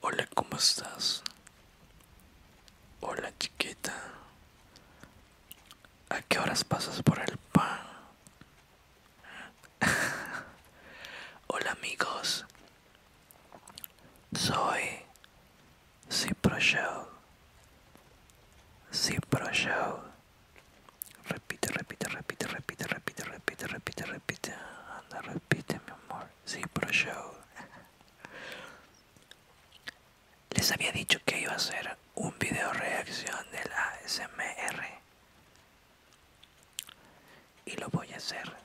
Hola, ¿cómo estás? Hola, chiquita. ¿A qué horas pasas por el pan? Hola, amigos. Soy Cipro Show. Cipro Show. Repite, repite, repite, repite, repite, repite, repite, repite. Anda, repite, mi amor. Cipro Show. Les había dicho que iba a hacer un video reacción del ASMR. Y lo voy a hacer.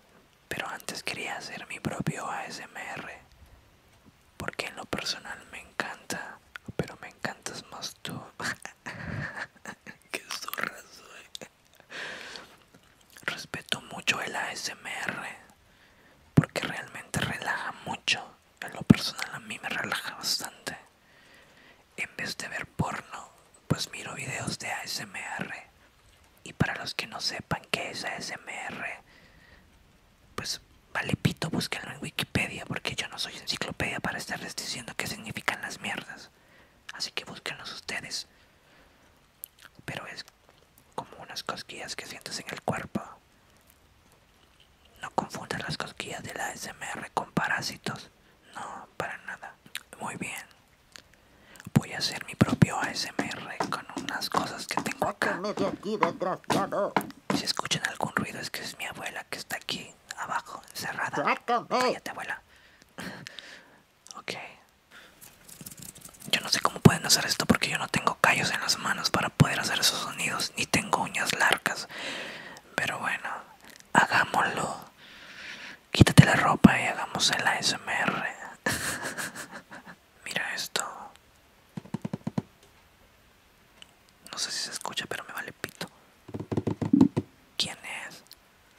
Pero antes quería hacer mi propio ASMR. Porque en lo personal me encanta. Pero me encantas más tú. Qué zorra soy. Respeto mucho el ASMR porque realmente relaja mucho. En lo personal a mí me relaja bastante. En vez de ver porno, pues miro videos de ASMR. Y para los que no sepan qué es ASMR, pues vale pito, búsquenlo en Wikipedia porque yo no soy enciclopedia para estarles diciendo qué significan las mierdas. Así que búsquenlos ustedes pero es como unas cosquillas que sientes en el cuerpo. No confundas las cosquillas de la SMR con parásitos. No, para nada. Muy bien. Voy a hacer mi propio ASMR con unas cosas que tengo acá. Si escuchan algún ruido es que es mi abuela que está aquí abajo, encerrada. abuela ok yo no sé cómo pueden hacer esto porque yo no tengo callos en las manos para poder hacer esos sonidos ni tengo uñas largas pero bueno hagámoslo quítate la ropa y hagamos el ASMR mira esto no sé si se escucha pero me vale pito ¿Quién es?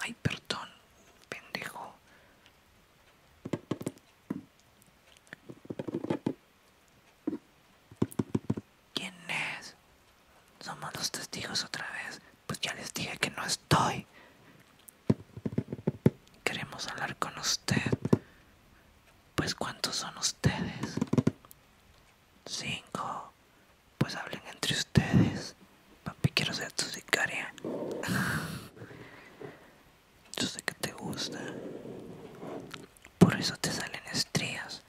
Ay, perdón, pendejo. ¿Quién es? Somos los testigos otra vez. Pues ya les dije que no estoy. Queremos hablar con usted. Pues cuántos son ustedes? Cinco. Pues hablen entre ustedes. Papi, quiero ser tu sicaria. Yo sé que te gusta. Por eso te salen estrías.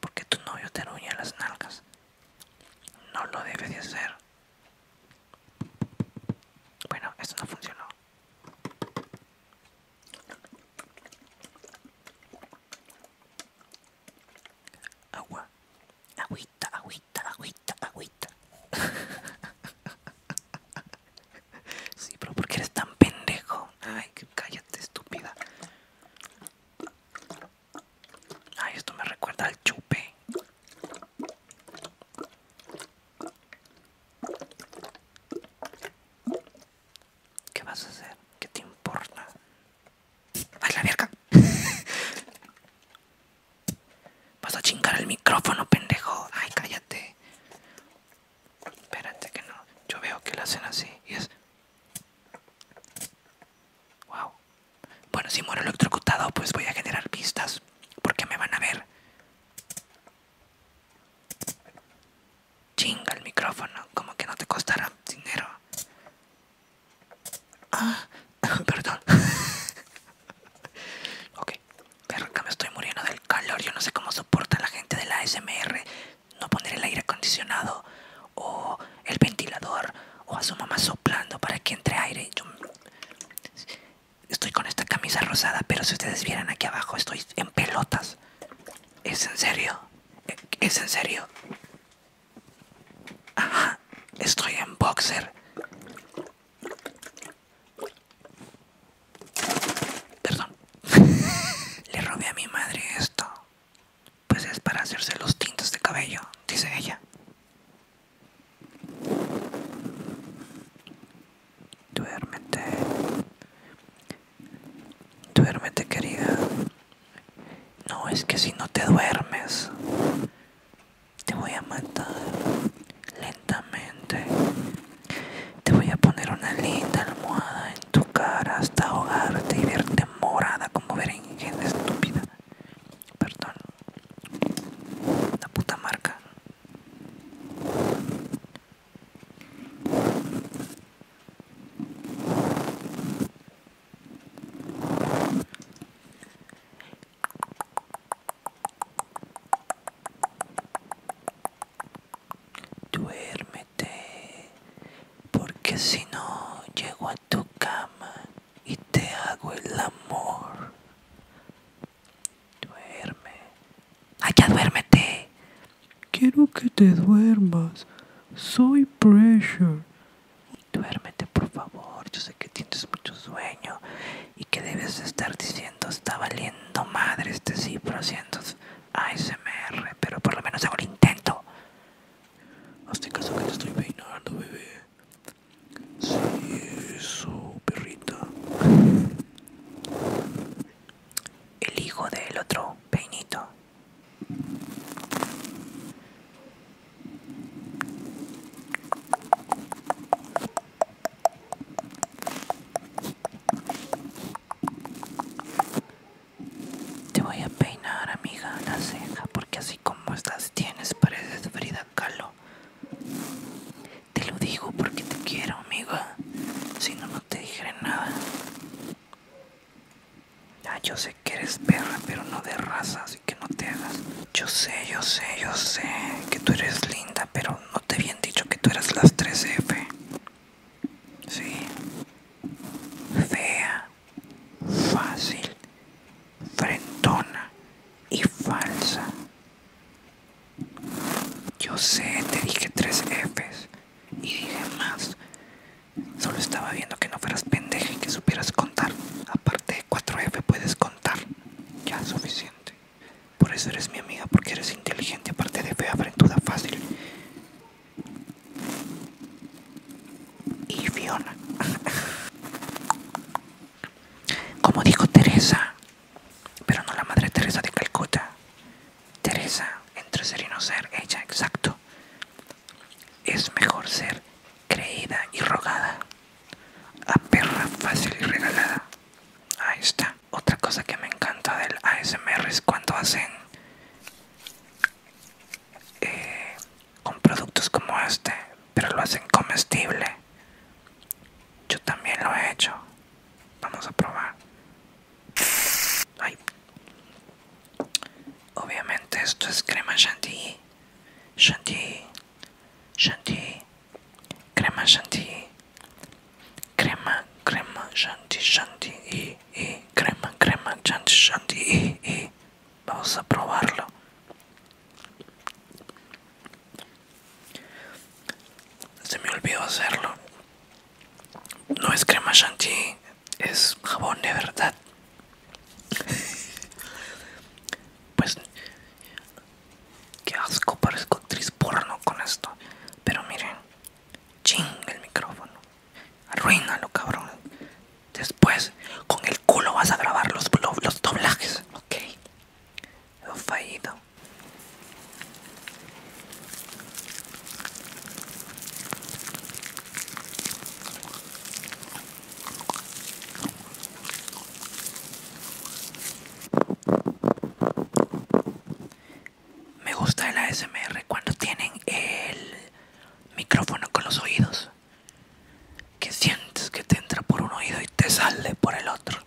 Porque tu novio te ruña las nalgas. No lo debes de hacer. Bueno, esto no funcionó. Agua. Agüita, agüita, agüita, agüita. sí, pero porque eres tan pendejo? Ay, cállate, estúpida. Ay, esto me recuerda al chupe. ¿Qué vas a hacer? ¿Qué te importa? a la verga. Vas a chingar el micrófono, pendejo. Ay, cállate. Espérate que no. Yo veo que lo hacen así y es. Wow. Bueno, si muero electrocutado, pues voy a generar pistas. Porque me van a ver. Chinga el micrófono. Como que no te costará dinero. Ah, perdón. ok, me estoy muriendo del calor. Yo no sé cómo soporta la gente de la ASMR no poner el aire acondicionado o el ventilador o a su mamá soplando para que entre aire. estoy con esta camisa rosada, pero si ustedes vieran aquí abajo, estoy en pelotas. ¿Es en serio? ¿Es en serio? Ajá, estoy en boxer. Perdón. Le robé a mi madre esto. Pues es para hacerse los tintos de cabello, dice ella. Duérmete. Duérmete, querida. No, es que si no te duermes, te voy a matar lentamente. Te voy a poner una linda almohada en tu cara hasta ahogarte y verte morada como ver en berenjena estúpida. Perdón. La puta marca. Duérmete, porque si no llego a tu cama y te hago el amor. Duerme, Allá ah, duérmete. Quiero que te duermas. Soy Pressure. Duérmete, por favor. Yo sé que tienes mucho sueño y que debes estar diciendo está valiendo madre este cifro siento ASMR, pero por lo menos hago el intento. Hazte caso que te estoy peinando, bebé. Sí, eso, perrita el hijo del otro peinito. Te voy a peinar, amiga, la ceja, porque así como estás tienes paredes Frida Kahlo. Te lo digo porque te quiero, amiga. Si no te dije nada. Ya yo sé que eres perra, pero no de raza, así que no te hagas. Yo sé, yo sé, yo sé que tú eres linda, pero no te habían dicho que tú eras las 3F. Sí. Fea, fácil, frentona y falsa. Yo sé, te dije tres Fs y dije más. Solo estaba viendo que no fueras pendeja y que supieras contar. Aparte de 4F puedes contar. Ya es suficiente. Por eso eres mi amiga, porque eres inteligente, aparte de fea, duda fácil. Y Fiona. Como dijo Teresa, pero no la Madre Teresa de Calcuta. Teresa, entre ser y no ser, ella, exacto. Es mejor ser creída y rogada, a perra fácil y regalada. Ahí está. Otra cosa que me encanta del ASMR es cuando hacen eh, con productos como este, pero lo hacen comestible. Yo también lo he hecho. Vamos a probar. Obviamente esto es crema chantilly. Chantilly. Chantilly. Crema chantilly. Crema, crema chantilly, chantilly. crema, crema chantilly, chantilly. Vamos a probarlo. Se me olvidó hacerlo. No es crema shanti, es jabón de verdad. pues qué asco, parezco actriz porno con esto. Pero miren, ching el micrófono. Arruínalo, cabrón. Después, con el culo vas a grabar los, los doblajes, ok. He fallido. Me gusta el ASMR cuando tienen el micrófono con los oídos. Que sientes que te entra por un oído y te sale por el otro.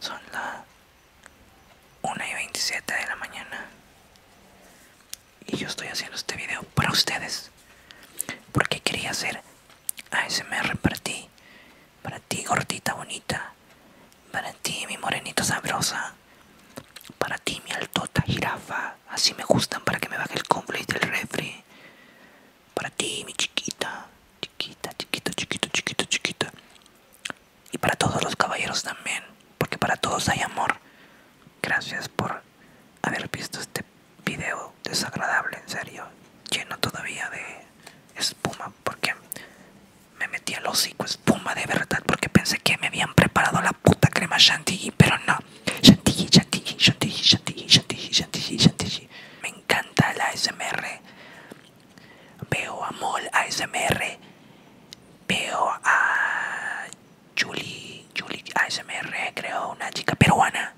Son las 1 y 27 de la mañana. Y yo estoy haciendo este video para ustedes. Porque quería hacer ASMR para ti. Para ti, gordita bonita. Para ti, mi morenito sabrosa. Para ti, mi altota jirafa. Así me gustan para que me baje el cómplice del refri. Para ti, mi chiquita. Chiquita, chiquita, chiquita, chiquito, chiquita. Y para todos los caballeros también. Porque para todos hay amor. Gracias por haber visto este video desagradable, en serio. Lleno todavía de espuma porque me metí al hocico espuma de verdad porque pensé que me habían preparado la puta crema chantilly, pero no. Chantilly, chantilly, chantilly, chantilly, chantilly, chantilly, chantilly. Me encanta la ASMR. Veo a Mol ASMR. Veo a Julie, Julie ASMR, creo, una chica peruana.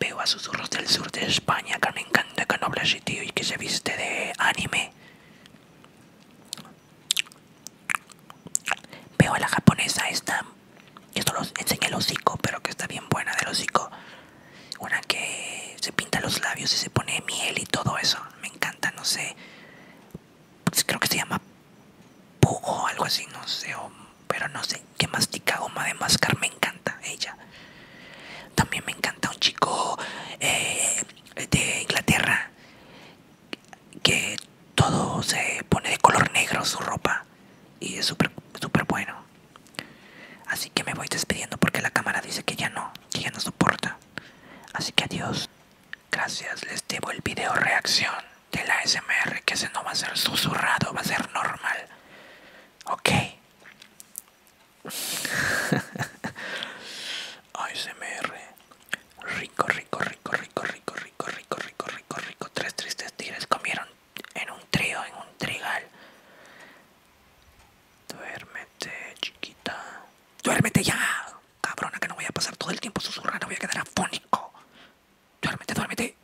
Veo a susurros del sur de España que me encanta que no habla así, y que se viste de anime. Veo a la japonesa esta, esto solo enseña el hocico, pero que está bien buena del hocico. Una que se pinta los labios y se pone miel y todo eso. Me encanta, no sé. creo que se llama Pugo o algo así, no sé. pero no sé que mastica goma de mascar me encanta ella también me encanta un chico eh, de Inglaterra que todo se pone de color negro su ropa y es súper súper bueno así que me voy despidiendo porque la cámara dice que ya no que ya no soporta así que adiós gracias les debo el video reacción de la smr que ese no va a ser susurrado va a ser normal ok ASMR. Rico, rico, rico, rico, rico, rico, rico, rico, rico, rico. Tres tristes tigres comieron en un trío, en un trigal. Duérmete, chiquita. Duérmete ya. Cabrona, que no voy a pasar todo el tiempo susurrando, voy a quedar afónico. Duérmete, duérmete.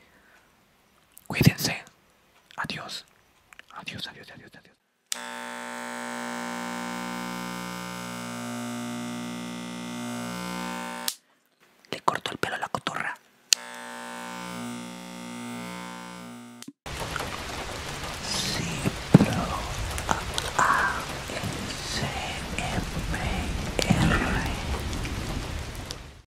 Cuídense. Adiós. Adiós, adiós, adiós, adiós. Le cortó el pelo a la cotorra.